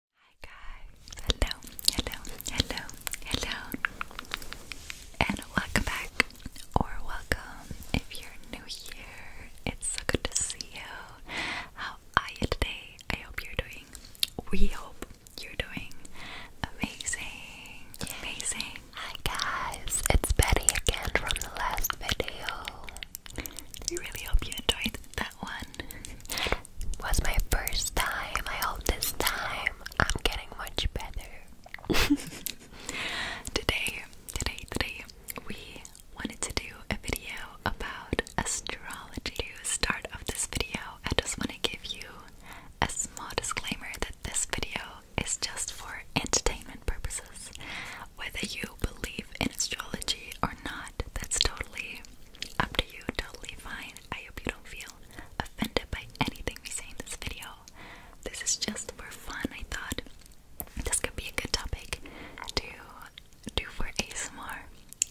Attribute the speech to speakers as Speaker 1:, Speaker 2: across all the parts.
Speaker 1: Hi guys, hello, hello, hello, hello, and welcome back, or welcome if you're new here. It's so good to see you. How are you today? I hope you're doing, we hope you're doing amazing, amazing. Hi guys, it's Betty again from the last video. We really hope you enjoyed that one was my first time. I hope this time I'm getting much better. today, today, today, we wanted to do a video about astrology. To start off this video, I just want to give you a small disclaimer that this video is just for entertainment purposes. Whether you believe in astrology or not, that's totally up to you, totally fine. I hope you don't feel offended by anything we say in this video. This is just for fun. I thought this could be a good topic to do for ASMR.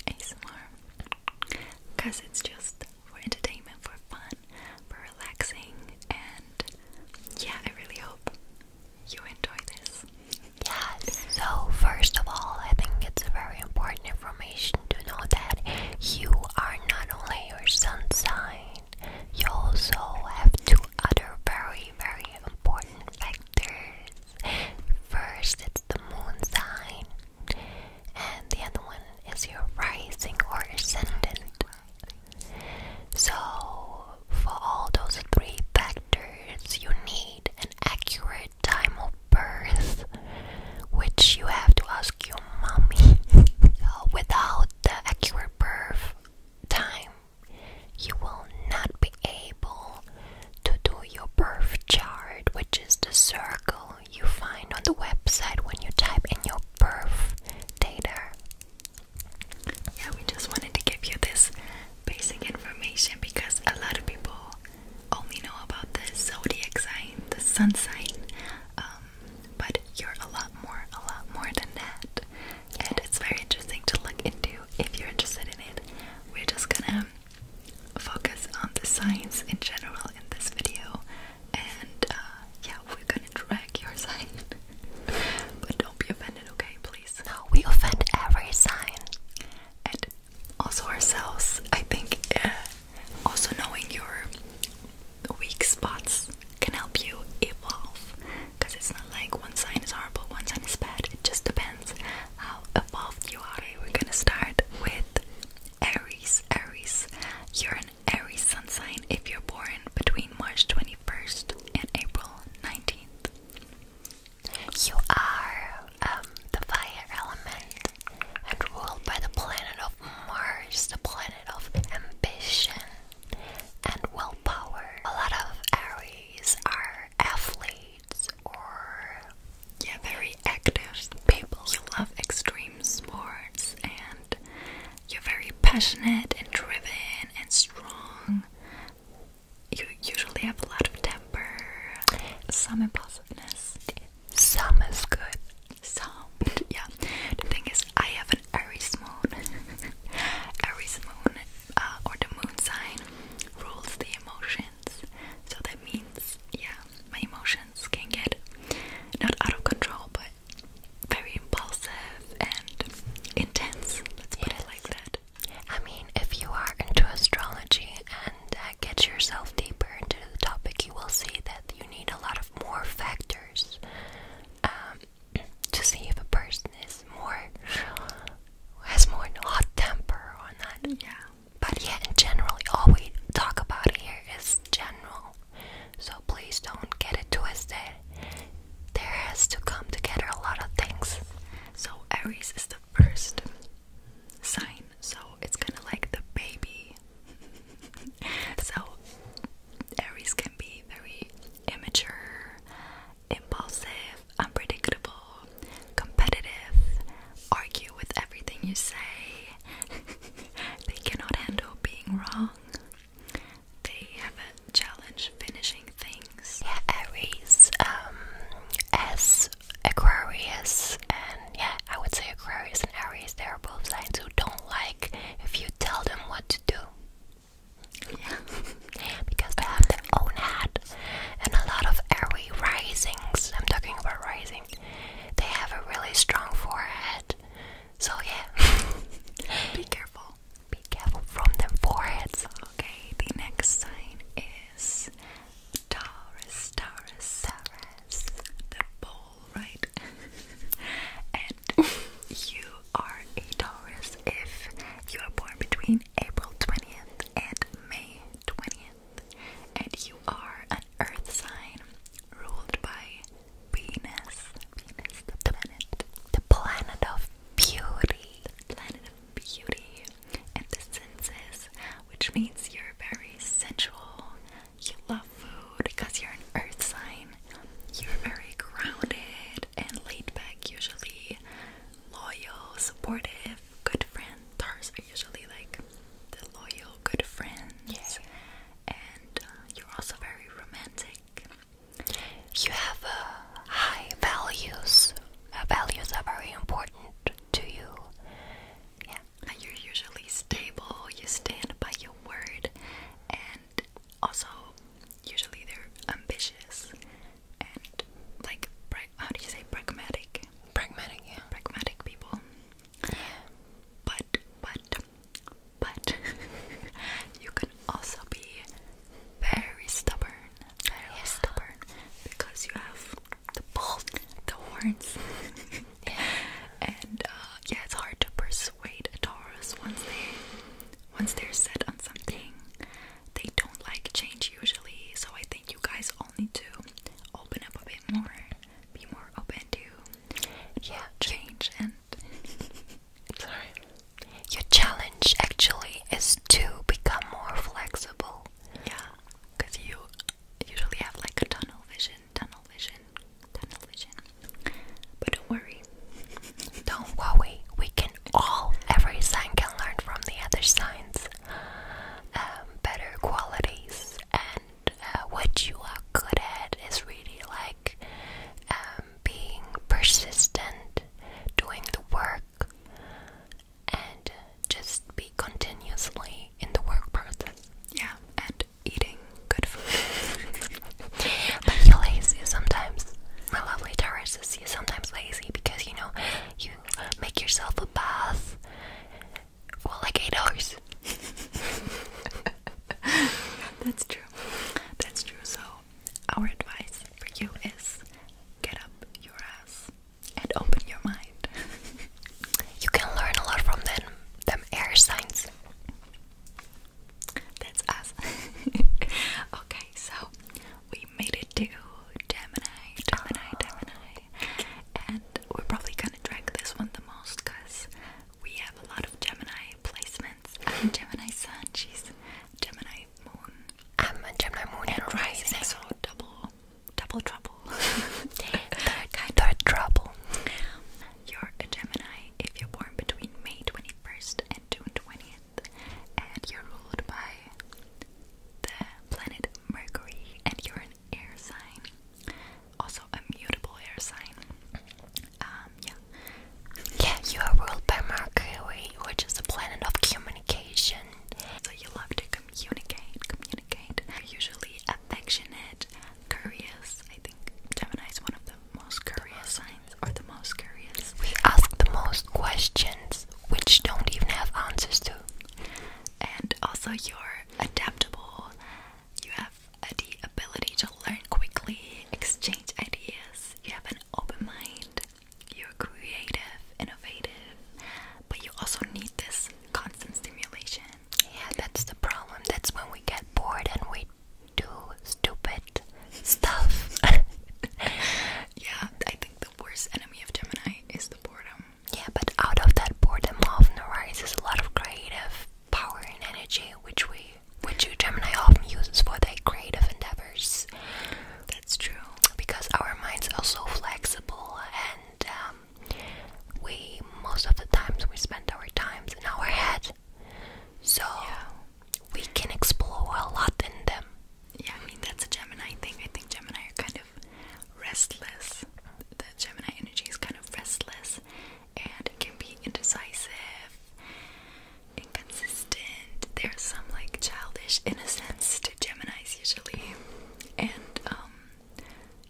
Speaker 1: ASMR. Because it's just for entertainment, for fun, for relaxing, and yeah, I really hope you enjoy this. Yes, so first of all, I think it's very important information to know that you are not only your sun sign, you also have two other very, very important factors. First, it's the moon sign, and the other one is your rising or ascendant. So, for all those three factors, you need an accurate time of birth, which you have to ask your mommy uh, without the accurate birth time, you will not be able to do your birth chart, which is the circle you find on the website when you type in your birth data. Yeah, we just wanted to give you this basic information because a lot of people only know about the zodiac sign, the sun sign, um, but you're a lot more, a lot more than that. And it's very interesting to look into if you're interested in it. We're just gonna focus on the signs in general in this video, and uh, yeah, we're gonna drag your sign. but don't be offended, okay? Please. we offend every sign. And also ourselves. I think uh, also knowing your weak spots can help you evolve because it's not like one sign is horrible, one sign is bad. It just depends how evolved you are. We're gonna start with Aries. Aries, you're an Aries sun sign if you're born between March 21st and April 19th. You are um, the fire element and ruled by the planet of Mars, the planet of ambition and willpower. A lot of Aries are athletes or yeah, very active people. You love extreme sports and you're very passionate and driven and strong. You usually have a lot of temper. Some about awesomeness. good. Some, yeah. The thing is, I have an Aries moon. Aries moon, uh, or the moon sign, rules the emotions. So that means, yeah, my emotions can get not out of control, but very impulsive and intense. Let's put it like that. I mean, if you are into astrology and get yourself deeper into the topic, you will see that you need a lot of more factors um, to see if a person is more has more hot temper or not. Yeah. But yeah, in general, all we talk about here is general. So please don't get it twisted. There has to come together a lot of things. So Aries is first sign, so it's kind of like the baby. so, Aries can be very immature, impulsive, unpredictable, competitive, argue with everything you say. they cannot handle being wrong. They have a challenge finishing things. Aries, um, S Aquarius and yeah, I would say Aquarius and Aries, they are both signs who don't like if you tell them what to do. Yeah. because they have their own head. And a lot of Aries risings, I'm talking about rising, they have a really strong forehead. So yeah. Be careful. Be careful from their foreheads. Okay, the next sign is Taurus, Taurus, Taurus, the ball, right? and you are a Taurus if you are born between April 20th and May 20th, and you are an earth sign ruled by Venus, Venus, the planet, the planet of beauty, the planet of beauty and which means you're very sensual. You love food because you're an earth sign. You're very grounded and laid back, usually loyal, supportive, good friend. Tars are usually like the loyal, good friends. Yeah. And uh, you're also very romantic. You have uh, high values. Uh, values are very important to you. Yeah, uh, you're usually stable, you stand by your word, and also usually they're ambitious and like, how do you say, pragmatic? Pragmatic, Pragmatic people. Yeah. But, but, but, you can also be very stubborn, very yeah. stubborn, because you have the bull, the horns. And uh, yeah, it's hard to persuade a Taurus once they once they're set on something. They don't like change usually, so I think you guys all need to open up a bit more, be more open to yeah change and. Sorry. Your challenge actually is to become more flexible. Yeah, because you usually have like a tunnel vision, tunnel vision, tunnel vision. But don't worry. Don't worry. We can all, every sign can learn from the other signs um, better qualities. And uh, what you are good at is really like um, being persistent, doing the work and just be continuously in the work process. Yeah, and eating good food. but you're lazy sometimes. My lovely Taurus is you're sometimes lazy because you know you make yourself a bath for like eight hours. That's true. That's true. So our advice for you is get up your ass and open your mind. you can learn a lot from them, them air signs. That's us. okay, so we made it to Gemini, Gemini, oh, Gemini, and we're probably gonna drag this one the most because we have a lot of Gemini placements. I'm Gemini Sun, she's Gemini Moon. i Gemini Moon and, rising, so double double trouble. third, trouble. You're a Gemini if you're born between May 21st and June 20th, and you're ruled by the planet Mercury, and you're an air sign. Also, a mutable air sign. Um, yeah. Yeah, you are ruled by Mercury, which is the planet of communication. So you love to communicate communicate. are usually affectionate, curious. I think Gemini is one of the most curious signs, or the most curious. We ask the most questions, which don't even have answers to. And also, you're adaptable. You have the ability to learn quickly, exchange ideas. You have an open mind. You're creative, innovative, but you also need this constant stimulation. Yeah, that's the problem. That's when we get bored and we do stupid stuff. yeah, I think the worst enemy of Gemini is the boredom. Yeah, but out of that boredom often arises a lot of creative power and energy, which we, which you Gemini often uses for their creative endeavors. That's true. Because our minds are so flexible and um, we most of the times we spend our times in our head so we can explore a lot in them yeah i mean that's a gemini thing i think gemini are kind of restless the gemini energy is kind of restless and it can be indecisive inconsistent there's some like childish innocence to gemini's usually and um, um,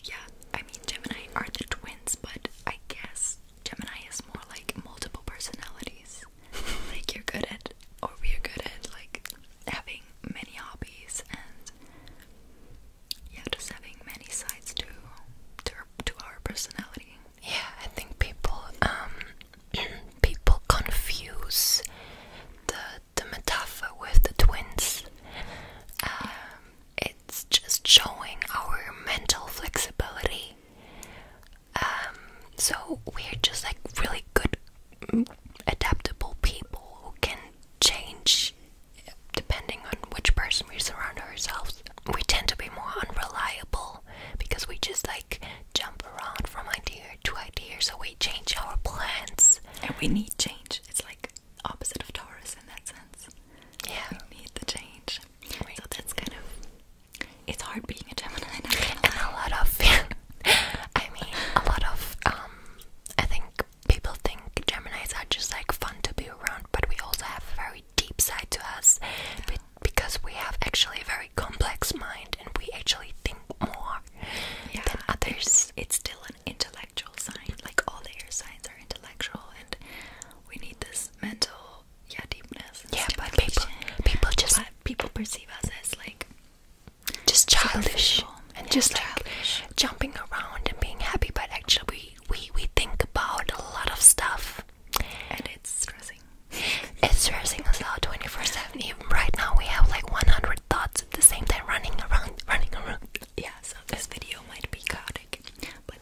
Speaker 1: yeah, I mean, Gemini are the twins, but I guess Gemini is more like multiple personalities. like, you're good at, or we're good at, like, having many hobbies and, yeah, just having many sides to, to, our, personality. Yeah, I think people, um, people confuse the, metaphor with the twins. Um, it's just showing our mental flexibility. Um, so we're just like really good, adaptable people who can change depending on which person we surround ourselves. We tend to be more unreliable because we just like jump around from idea two ideas, so we change our plans. And we need change. It's like opposite of Taurus in that sense. Yeah. We need the change. So that's kind of it's hard being a Gemini and a lot of I mean a lot of um I think people think Geminis are just like fun to be around, but we also have a very deep side to us because we have actually a very complex mind and we actually think more than others it's still an intellectual sign. Like all the air signs are intellectual, and we need this mental yeah deepness. Yeah, but people people just but people perceive us as like just childish and just like jumping around and being happy. But actually, we we we think about a lot of stuff, and it's stressing. It's stressing us out twenty four seven. Even right now, we have like one hundred thoughts it's at the same time running around, running around. Yeah, so this video might be chaotic, but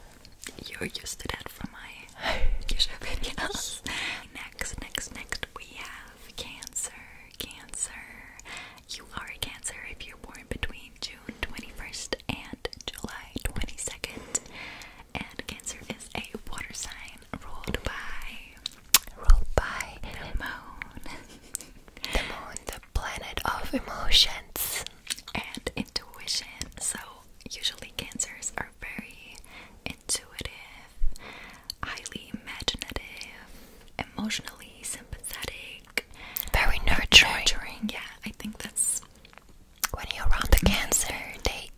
Speaker 1: you're used to that from my usual videos. next, next, next, we have Cancer. Cancer. You are a Cancer if you're born between June 21st and July 22nd. And Cancer is a water sign ruled by ruled by the moon. the moon, the planet of emotions and intuition. So, usually, Cancers are very intuitive, highly imaginative, emotionally sympathetic, very nurturing. nurturing. Yeah, I think that's when you're around the Cancer, they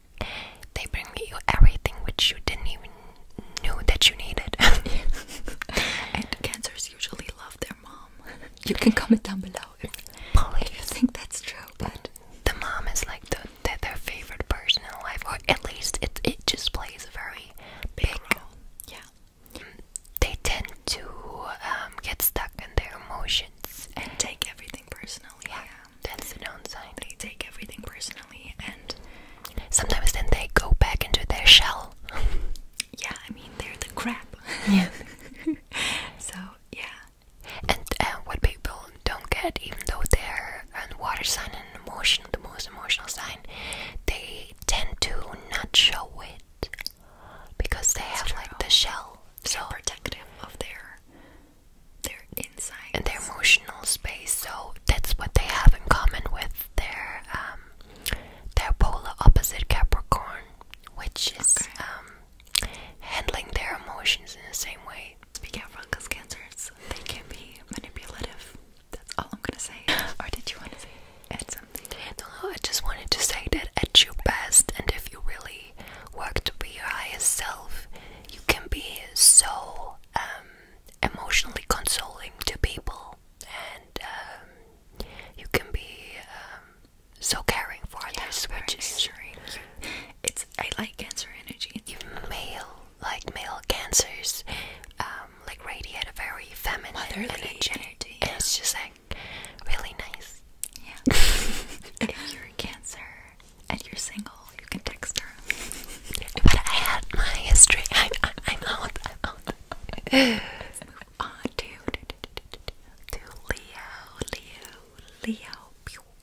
Speaker 1: they bring you everything which you didn't even knew that you needed. and cancers usually love their mom. You can comment down below if, you think that's true. But the mom is like their favorite person in life, or at least it just plays a very big, role. Yeah, they tend to um, get stuck in their emotions and take everything personally. Yeah, yeah. that's the downside. They take everything personally. And sometimes then they go back into their shell. yeah, I mean they're the crab. Yeah. so yeah. And uh, what people don't get, even though they're a water sign and emotional, the most emotional sign, they tend to not show it because they have like the shell. So protective of their their inside and their emotional space so that's what they have in common with their um they're polar opposite Capricorn, which is um, handling their emotions in the same way. Be careful, because cancers they can be manipulative. That's all I'm gonna say. or did you want to say add something? No, I just wanted to say that at your best, and if you really work to be your highest self, you can be so um, emotionally consoling to people and um, you can be um, so caring for others which is it's I like cancer energy you male like male cancers um, like radiate a very feminine energy, and it's just like really nice yeah if you're a cancer and you're single you can text her but I had my history I, I, I'm I'm out Let's move on to, to Leo, Leo, Leo.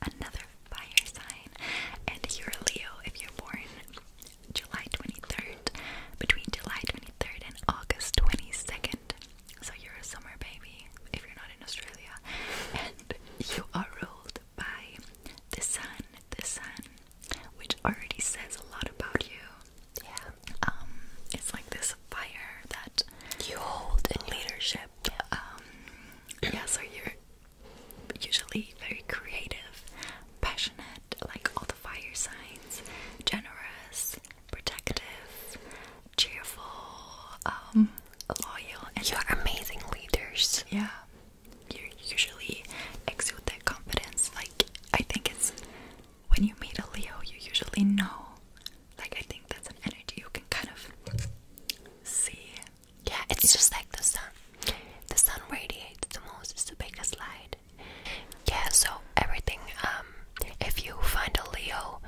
Speaker 1: Another fire sign. And you're Leo if you're born July 23rd, between July 23rd and August 22nd. So you're a summer baby if you're not in Australia. And you are ruled by the sun, this sun, which already says a lot about you. Yeah. Um, it's like this fire that you hold in leadership. Um, yeah, so you're usually very creative, passionate, like all the fire signs, generous, protective, cheerful, um, loyal. you are amazing leaders. Yeah you usually exude that confidence. Like, I think it's when you meet a Leo, you usually know. Like, I think that's an energy you can kind of see. Yeah, it's just like the sun. The sun radiates the most, it's the biggest light. Yeah, so everything, um, if you find a Leo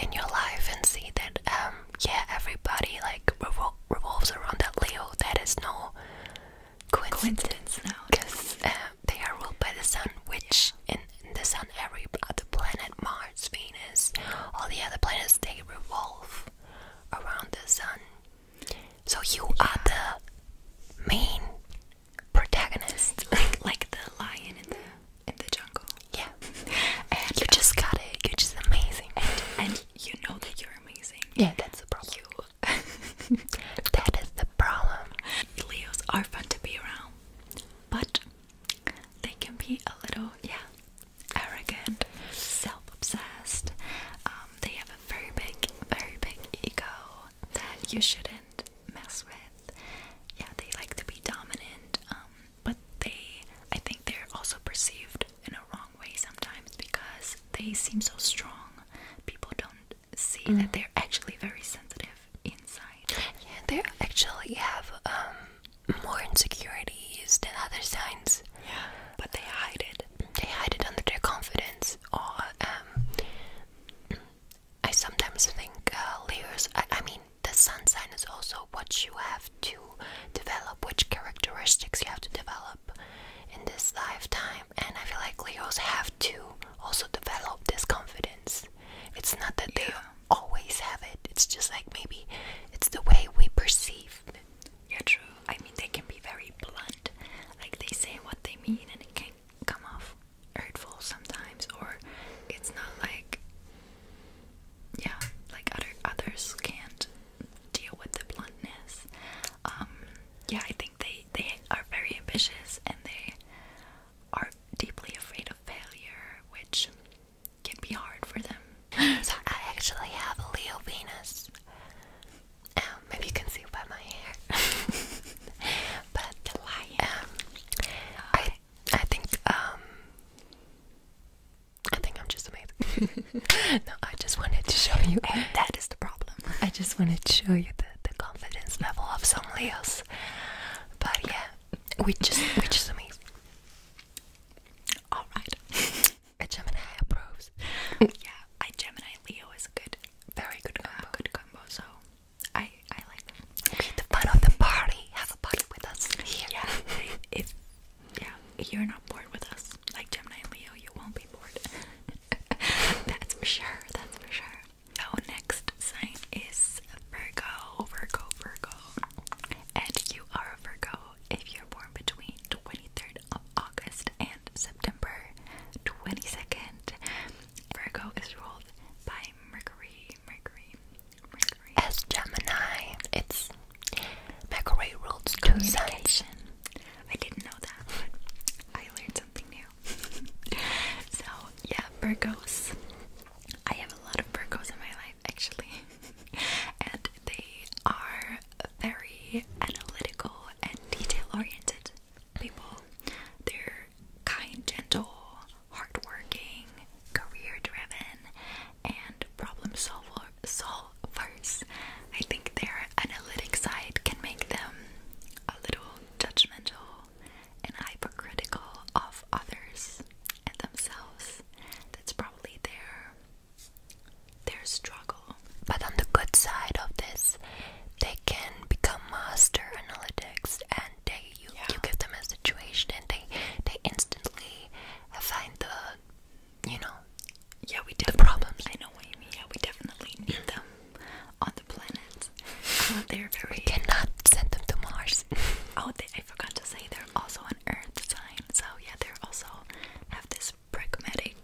Speaker 1: in your life and see that, um, yeah, everybody like revol revolves around that Leo, that is no coincidence, coincidence now because uh, they are ruled by the sun, which in, the sun, every other uh, planet, Mars, Venus, all the other planets, they revolve around the sun. So you are the main protagonist, like the lion in the in the jungle. Yeah, and you just got it. You're just amazing, and, you know that you're amazing. Yeah, that's the problem. that is the problem. Leos are fun to be around, but they can be a little, yeah, arrogant, self obsessed. Um, they have a very big, very big ego that you shouldn't mess with. Yeah, they like to be dominant, um, but they, I think they're also perceived in a wrong way sometimes because they seem so strong. People don't see that they're actually very sensitive inside. Yeah, they actually have um, more insecurities than other signs. Yeah, but they hide it. They hide it under their confidence or um. I sometimes think uh, layers. I, I mean, the sun sign is also what you have to develop, which characteristics you have to develop in this lifetime. And I feel like Leos have to also develop this confidence. It's not that they always have it, it's just like maybe it's the way we perceive. Yeah, true. I mean, they can be very blunt. Like, they say what they mean, and it can come off hurtful sometimes, or it's not like, yeah, like other others can't deal with the bluntness. Um, yeah, I think they they are very ambitious and they are deeply afraid of failure, which can be hard for them. So I actually have a Leo Venus. maybe um, you can see by my hair. but the lion. Um, I I think um I think I'm just amazing. no, I just wanted to show you and that is the problem. I just wanted to show you the, the confidence level of some Leos. But yeah, we just which is amazing. Alright. Gemini approves. yeah, I Gemini Leo is a good very good combo. good combo, so I I like them. the fun of the party. Have a party with us here. Yeah. if yeah, you're not bored with us like Gemini and Leo, you won't be bored. that's for sure, that's for sure. So, oh, next sign is Virgo, Virgo, Virgo. And you are a Virgo if you're born between 23rd of August and September 22nd. Virgo is ruled by Mercury, Mercury, Mercury. As Gemini, it's Mercury rules two I didn't know that, I learned something new. so, yeah, Burgos. I have a lot of Burgos in my life, actually. and they are very analytical and detail oriented people. They're kind, gentle, hardworking, career driven, and problem solver solvers. I think they're analytic side can make them a little judgmental and hypercritical of others and themselves. That's probably their their struggle. But on the good side of this, they can become master analytics and they you, you give them a situation and they they instantly find the you know yeah, we do. The problems. I know what Yeah, we definitely need them on the planet. they're very. cannot send them to Mars. oh, they, I forgot to say they're also on Earth sign. So yeah, they're also have this pragmatic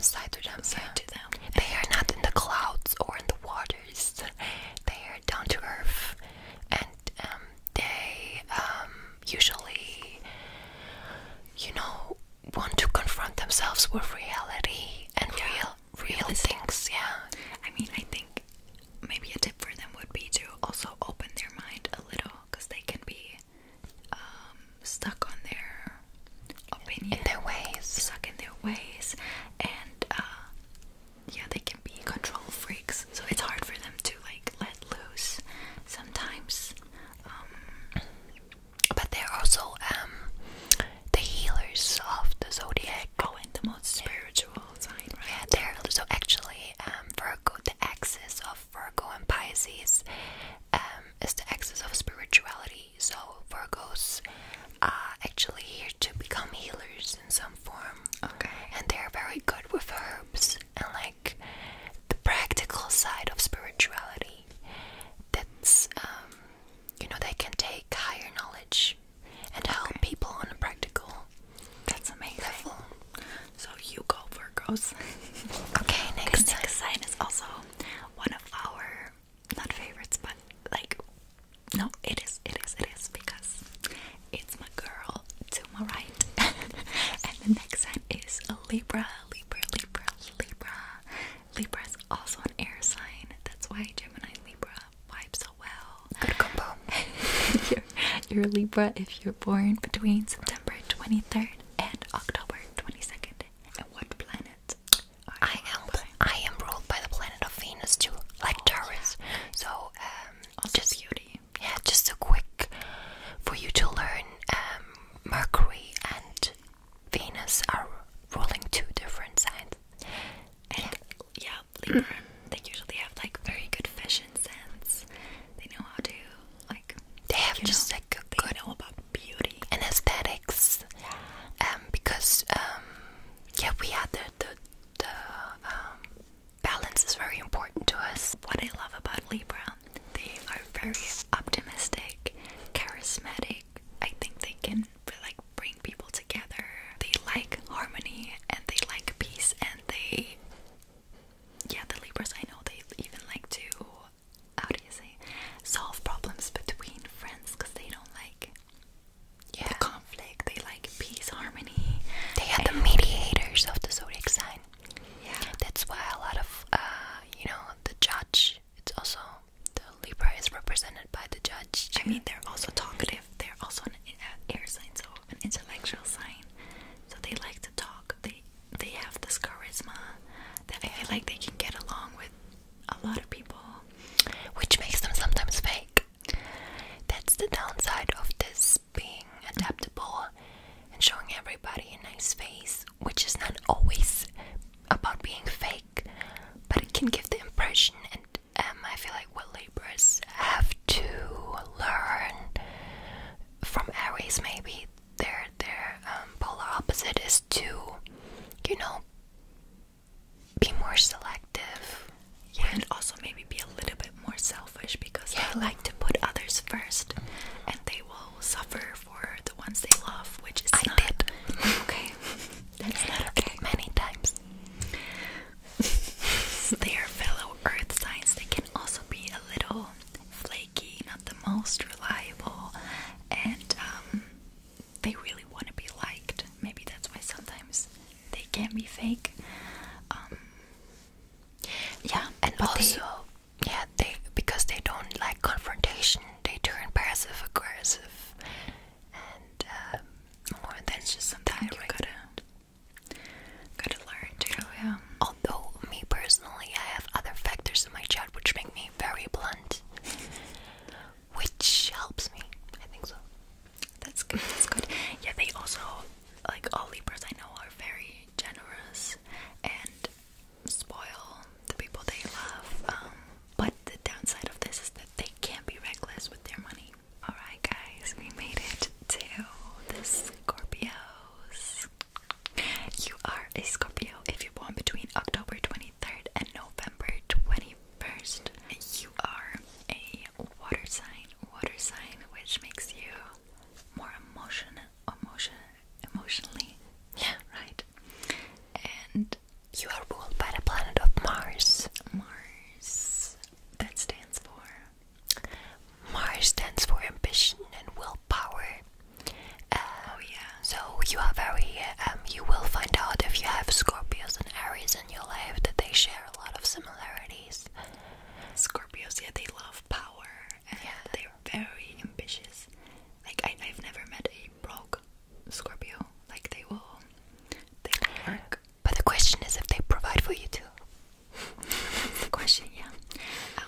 Speaker 1: side to them. to them. They are not in the clouds or in the waters. They are down to earth, and um, they um, usually, you know, want to confront themselves with reality and real real things yeah i mean i think maybe a tip for them would be to also open their mind a little because they can be um, stuck on their opinion in their ways stuck in their ways and uh, yeah they can be control freaks so it's hard for them to like let loose sometimes um, but they're also um, the healers of the zodiac. going oh, and the most spiritual sign, right? Yeah, they're so actually um, Virgo, the axis of Virgo and Pisces um, is the axis of spirituality. So Virgos are actually here to become healers in some form. Okay. And they're very good with herbs and like the practical side of spirituality that's um, you know they can take higher knowledge and help people on a practical that's amazing level. so you go Virgos okay next sign. next sign is also one of our not favorites but like no it is it is it is because it's my girl to my right and the next sign is Libra Libra Libra Libra Libra is also an air sign. That's why Gemini Libra vibe so well. Good combo. you're, Libra if you're born between September 23rd and October 22nd. And what planet? I am. I am ruled by the planet of Venus too, like oh, Taurus. So um, just Yeah, just a quick for you to learn um, Mercury and Venus are ruling two different signs. And yeah, Libra, they usually have like very good fashion sense. They know how to like. They have just like a good know about beauty and aesthetics. Yeah. Um, because um, yeah, we had the the, the um, balance is very important to us. What I love about Libra they are very optimistic, charismatic. I think they can like bring people together. They like harmony and they like peace and they yeah, the Libras I know they even like to how do you say solve problems between friends because they don't like yeah. the conflict. They like peace, harmony. They are the mediators of the zodiac sign. Yeah, that's why a lot of uh, you know the judge it's also the Libra is represented by the judge. I mean, they're also talkative. They're also an uh, air sign, so an intellectual sign. So they like to talk. They they have this charisma that I feel like they can get along with a lot of people, which makes them sometimes fake. That's the downside of this being adaptable and showing everybody a nice face, which is not always about being fake, but it can give the impression, and um, I feel like what Libras have to learn from Aries, maybe their their um, polar opposite is to, you know, be more selective. and also maybe be a little bit more selfish because yeah. they like to put others first, and they will suffer for the ones they love, which is not did. okay. Many times. they are fellow earth signs. They can also be a little flaky, not the most reliable, and um, they really want to be liked. Maybe that's why sometimes they can be fake. Um, yeah, and also yeah they because they don't like confrontation they turn passive aggressive and um, more than just something you gotta gotta learn to oh, yeah although me personally I have other factors in my child which make me very blunt which helps me I think so that's that's good yeah they also like all Libras I know are very generous and spoil the people they love. Um, but the downside of this is that they can't be reckless with their money. Alright, guys, we made it to the Scorpios. You are a Scorpio if you're born between October 23rd and November 21st. You are a water sign, water sign, which makes you more emotional, emotional, emotionally. Yeah. Right? And you are ruled by the planet of Mars. Mars. That stands for? Mars stands for ambition and willpower. Um, oh, yeah. So you are very, um, you will find out if you have Scorpios and Aries in your life that they share a lot of similarities. Scorpios, yeah, they love power and yeah. they're very ambitious. Like, I've never met a very Scorpio. Like they will, they will work. But the question is if they provide for you too. the question, yeah.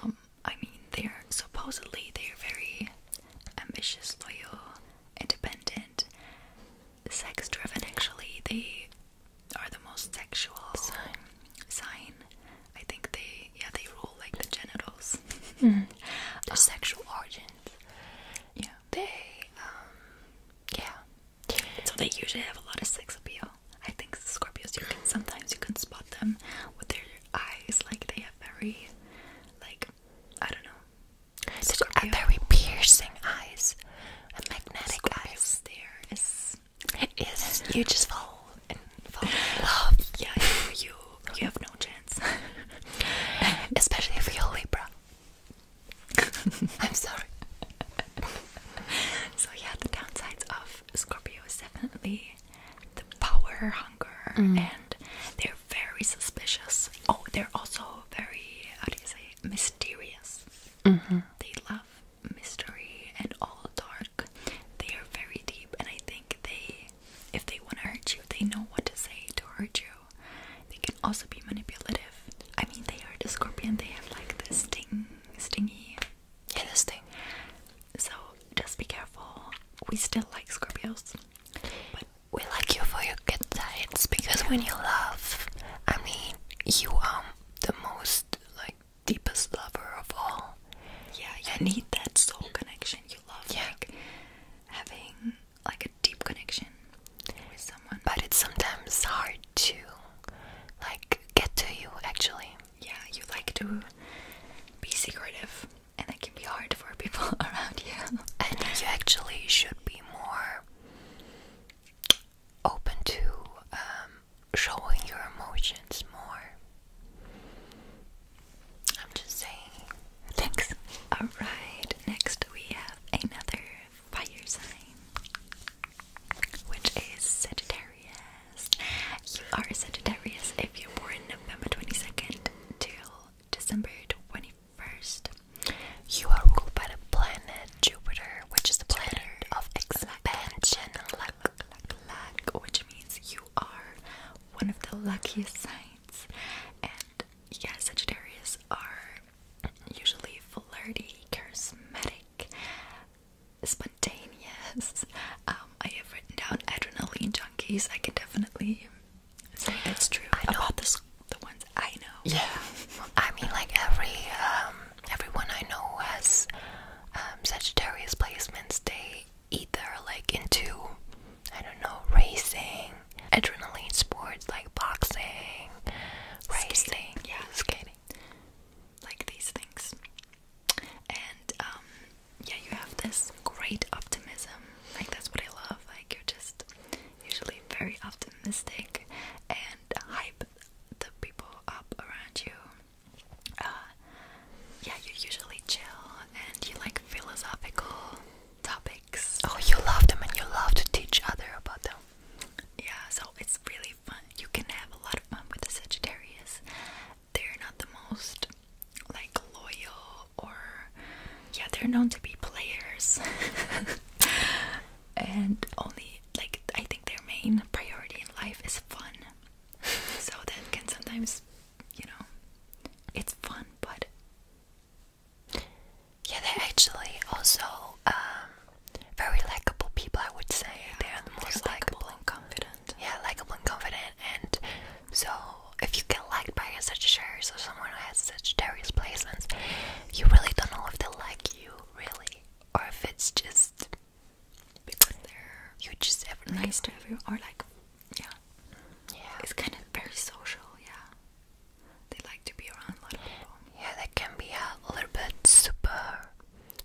Speaker 1: Um, I mean, they're supposedly they're very ambitious, loyal, independent, sex-driven. Actually, they are the most sexual sign. sign. I think they they yeah they rule like the genitals, mm-hmm. the oh. sexual organs. Yeah, they um, yeah. So they usually have a lot of sex appeal. I think Scorpios you can sometimes you can spot them with their eyes, like they have very like I don't know. Scorpio. They have very piercing eyes, magnetic eyes. There is. Is you just fall and fall in love. Yeah, you you, have no chance. Especially if you're Libra. I'm sorry. so yeah, the downsides of Scorpio is definitely the power hunger mm. and they're very suspicious. Oh, they're also very how do you say mysterious. Mm-hmm. They love mystery and all dark. They are very deep and I think they if they want to hurt you, they know what to say to hurt you. They can also be manipulative. I mean, they are the scorpion, they have like this sting, stingy. Yeah, this thing. So just be careful. We still like Scorpios. But we like you for your good sides because when you love, I mean, you are um, the most like deepest lover of all. Yeah, you need that soul connection yeah. having like a deep connection with someone. But it's sometimes hard to like get to you actually. Yeah, you like to be secretive and it can be hard for people around you. And you actually should be more open to um, showing your emotions more. I'm just saying. Thanks. Alright, next we have another fire sign, which is Sagittarius. You are Sagittarius if you're born November 22nd till December 21st. You are ruled by the planet Jupiter, which is the planet of expansion, luck, luck, luck, which means you are one of the luckiest signs. And yeah, Sagittarius are usually flirty, charismatic, spontaneous. Um, I have written down adrenaline junkies. I can definitely say that's true I know. the ones I know. Yeah, I mean, like every um, everyone I know has um, Sagittarius placements, they either like into I don't know, racing, adrenaline sports like boxing, racing, yeah, skating, like these things. And um, yeah, you have this great optimism. Like that's what I love. Like you're just usually very optimistic and hype the people up around you. Uh, yeah, you're usually chill and you like philosophical topics. Oh, you love them and you love to teach other about them. Yeah, so it's really fun. You can have a lot of fun with the Sagittarius. They're not the most like loyal or yeah, they're known to be players. and only like I think their main priority in life is fun. So that can sometimes you know, it's fun, but yeah, they're actually also um, very likable people. I would say yeah, they are the most likable and confident. Yeah, likable and confident, and so if you get liked by such shares or someone who has such various placements, you really don't know if they like you really, or if it's just because they're you just ever nice to everyone, or like yeah. It's kind of very social, yeah. They like to be around a lot of people. Yeah, they can be a little bit super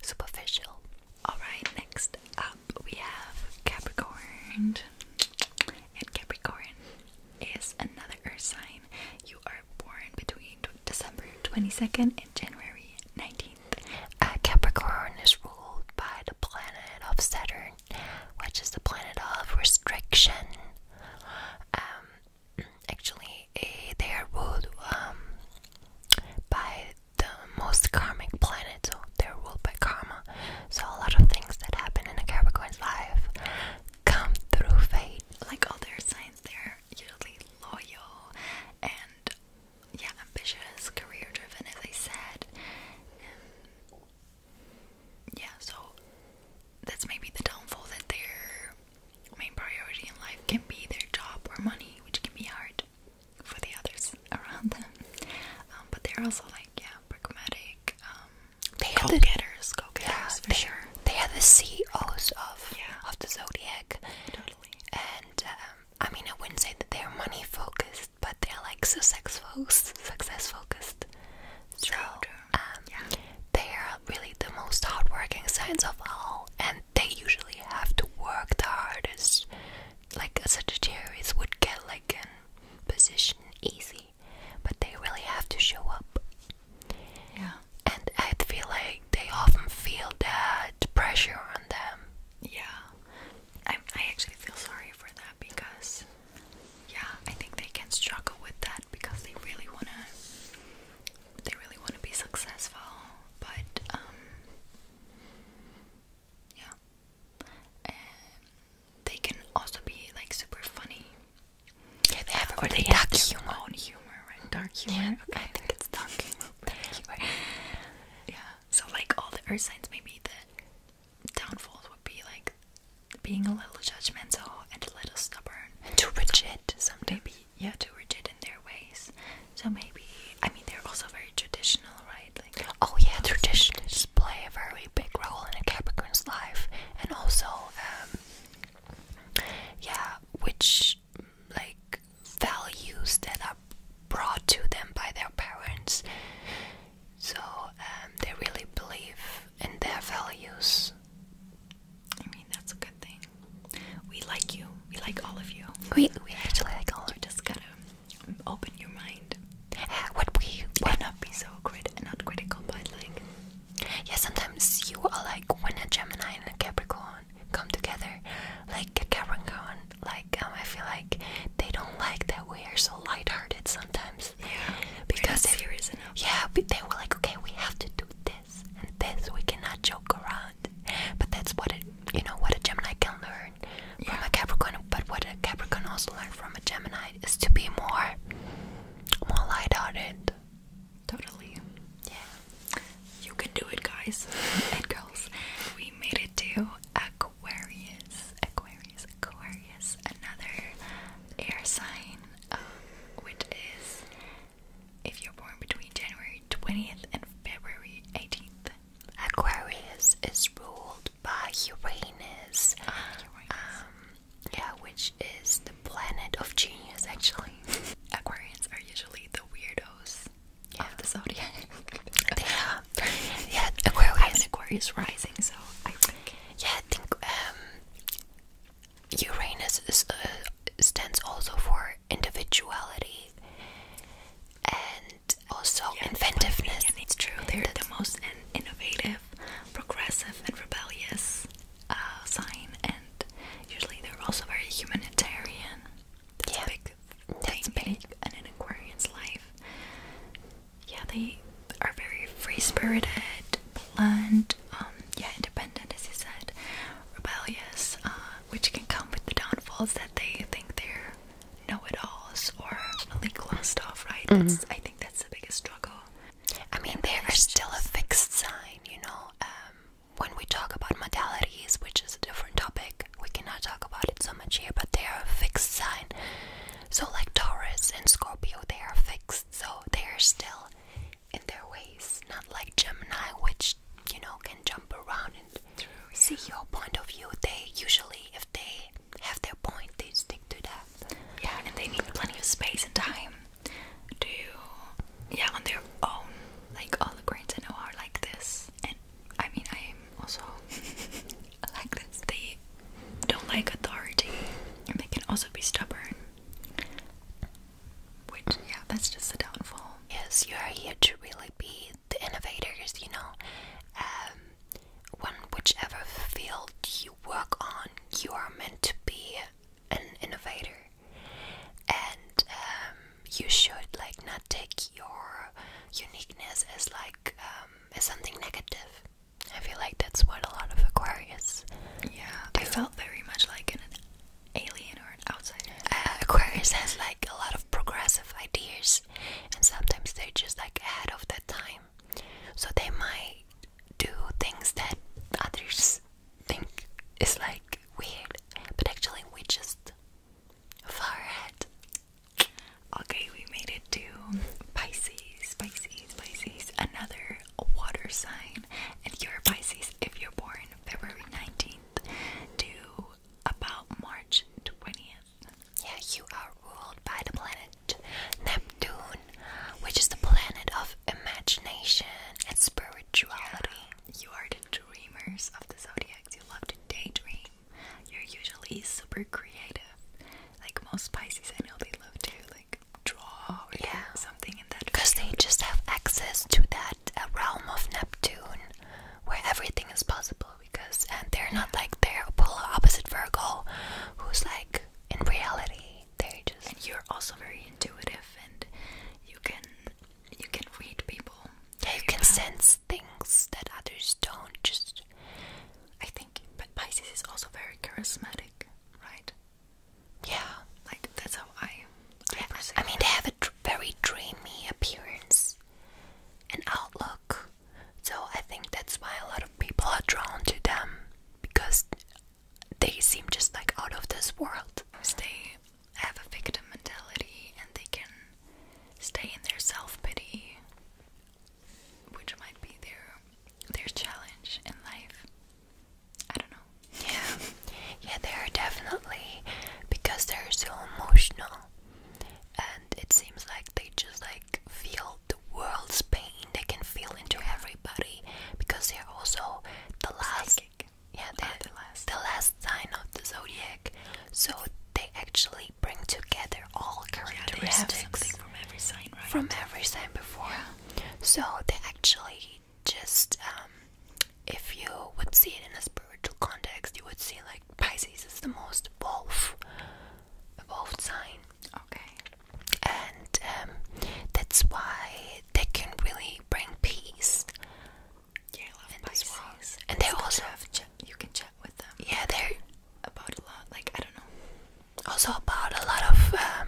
Speaker 1: superficial. Alright, next up we have Capricorn. And Capricorn is another earth sign. You are born between December 22nd and January 19th. Uh, Capricorn is ruled by the planet of Saturn which is the planet of restriction. Um, actually, eh, they are ruled um, by the most karmic planet, so they're ruled by karma. So a lot of things that happen in a Capricorn's life come through fate. Like all their signs, they're usually loyal and yeah, ambitious, career driven, as I said. Um, yeah, so that's maybe the downfall that their main priority in life can be their job or money, which can be hard for the others around them. Um, but they're also like, yeah, pragmatic, um, they go getters, go getters they, are the CEOs of, of the zodiac. Totally. And um, I mean, I wouldn't say that they are money focused but they're like so sex focused, success focused. So, um, they are really the most hardworking signs of all, and they usually have to work the hardest. Like a Sagittarius would get like a position easy, but they really have to show up. Yeah, and I feel like they often feel that pressure on them. Yeah, I, I actually feel sorry for that because, yeah, I think they can struggle with that because they really wanna, they really wanna be successful. But um, yeah, and they can also be like super funny. Yeah, they have, or they have dark humor. Their own humor, right? Dark humor. Yeah, okay. I think it's dark humor. dark humor. Yeah. So like all the earth signs, maybe the downfalls would be like being a little judgmental and a little stubborn, and too rigid. Some maybe yeah, too rigid in their ways. So maybe I mean they're also very traditional, right? Like oh yeah, traditions play a very big role in a Capricorn's life, and also um, yeah, which like values that are brought to them by their parents so um, they really believe in their values. I mean, that's a good thing. We like you. We like all of you. We we actually like all. You just gotta open your mind. What we why not be so crit not critical, but like yeah. Sometimes you are like when a Gemini and a Capricorn come together, like a Capricorn like um, I feel like they don't like that we are so lighthearted sometimes. Yeah, because if serious Yeah, they were like, okay, we have to do this and this. We cannot joke around. But that's what it, you know, what a Gemini can learn from a Capricorn. But what a Capricorn also learned from a Gemini is to be more, more lighthearted. Totally. Yeah. You can do it, guys and girls. We made it to a Aquarius, Aquarius, Aquarius, another air sign, um, which is if you're born between January 20th and February 18th. Aquarius is ruled by Uranus. Um, yeah, which is the planet of genius, actually. Aquarians are usually the weirdos yeah. the zodiac. they yeah, Aquarius. Aquarius rising, so I think. Yeah, I think um, Uranus uh, stands also for individuality and also inventiveness. it's true, they're the most innovative, progressive, and rebellious uh, sign, and usually they're also very humanitarian. That's big that's big. in an Aquarian's life yeah, they are very free-spirited, blunt, um, yeah, independent as you said, rebellious, uh, which can come with the downfalls that they think they're know-it-alls or really glossed off, right? Mm-hmm. That's, I think that's the biggest struggle. I mean, they are still a fixed sign, you know. Um, when we talk about modalities, which is a different topic, we cannot talk about it so much here, but they are a fixed sign. So, like Taurus and Scorpio, they are fixed, so they are still in their ways. Not like Gemini, which you know can jump around and see your point of view. They usually, if they have their point, they stick to that. Yeah, and they need plenty of space and time to, yeah, on their own. Like all the grains I know are like this, I mean, I am also like that They don't like authority, and they can also be stubborn. Which, yeah, that's just the downfall. Yes, you are here to really be the innovators, you know. Um, when whichever field you work on, you are meant to be an innovator, and um, you should like not take your uniqueness as like um, is something negative. I feel like that's what a lot of Aquarius. Yeah, do. I felt very much like an alien or an outsider. Uh, Aquarius has like a lot of progressive ideas, and sometimes they're just like ahead of their time, so they might do things that others think is like weird, but actually we just far ahead. Okay, we made it to Pisces, Pisces, Pisces, another water sign. And you're Pisces if you're born February 19th to about March 20th. Yeah, you are ruled by the planet Neptune, which is the planet of imagination and spirituality. you are the dreamers of the zodiacs. You love to daydream. You're usually super creative. Like most Pisces, I know they love to like draw or yeah. something in that. Because they just have access to that uh, realm of Neptune, where everything is possible. Because and they're not like their polar opposite Virgo, who's like in reality they just. And you're also very intuitive, and you can you can read people. Yeah, you can sense things that others don't. Just I think, but Pisces is also very charismatic, right? Yeah, like that's how I. I, mean, they have a very dreamy appearance and outlook, so I think that's why a lot of people are drawn to them because they seem just like out of this world. They have a victim mentality and they can stay in their self pity which might be their their challenge in life. I don't know. Yeah, yeah, they are definitely because they're so emotional, and it seems like they just like feel the world's pain. They can feel into everybody because they're also the last. Yeah, the last, the last sign of the zodiac. So they actually bring together all characteristics from every sign, From every sign before. So they actually just, um, if you would see it in a spiritual context, you would see like Pisces is the most wolf, evolved sign. Okay. And um, that's why they can really bring peace. Yeah, love Pisces. And they also have gem. you can check. Yeah, they're about a lot. Like I don't know. Also about a lot of um,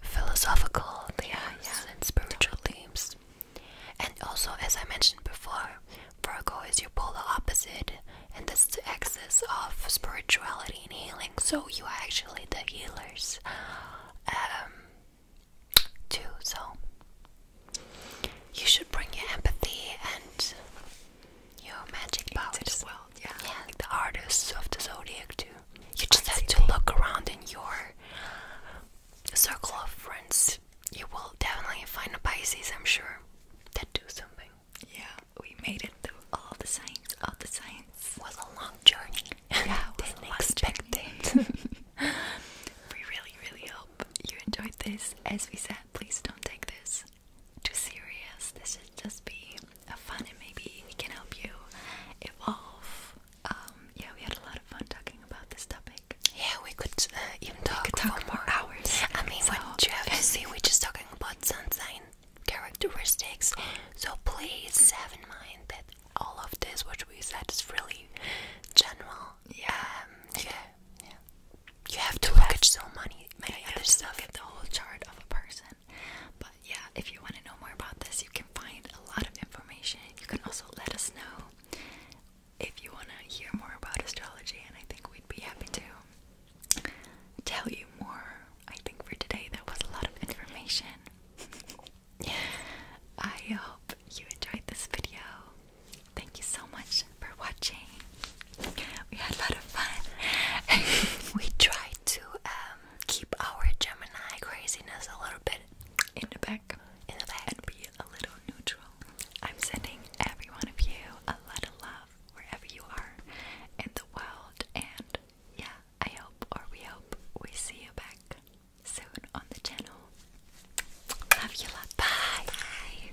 Speaker 1: philosophical yeah, yeah. and spiritual themes. And also, as I mentioned before, Virgo is your polar opposite, and this is the axis of spirituality and healing. So you are actually the healers, um, too. So you should bring your empathy and your magic powers. the yeah. yeah. the artists of the zodiac too. You just have to look around in your circle of friends. You will definitely find a Pisces, I'm sure, that do something. Yeah, we made it through all the signs, All the science was a long journey. Yeah, didn't expect we really, really hope you enjoyed this. As we said, please don't take this too serious. This should just be a fun and maybe we can help you evolve. Um, yeah, we had a lot of fun talking about this topic. Yeah, we could uh, even talk, talk for more hours. I mean, so, what you have to see, we're just talking about sun sign characteristics. So please have in mind that all of this, which we said, is really general. Yeah. Um, yeah. Yeah. You have to look at so many, many yeah, other stuff. Look at the whole chart of a person. But yeah, if you want to know more about this, you can find a lot of information. You can also let us know if you want to hear more about astrology, and I think we'd be happy to tell you more. I think for today, there was a lot of information. I hope you enjoyed this video. Thank you so much for watching. We had a lot of fun. we tried to um, keep our Gemini craziness a little bit in the back, in the back, and be a little neutral. I'm sending every one of you a lot of love wherever you are in the world, and yeah, I hope or we hope we see you back soon on the channel. Love you lot. Bye. Bye.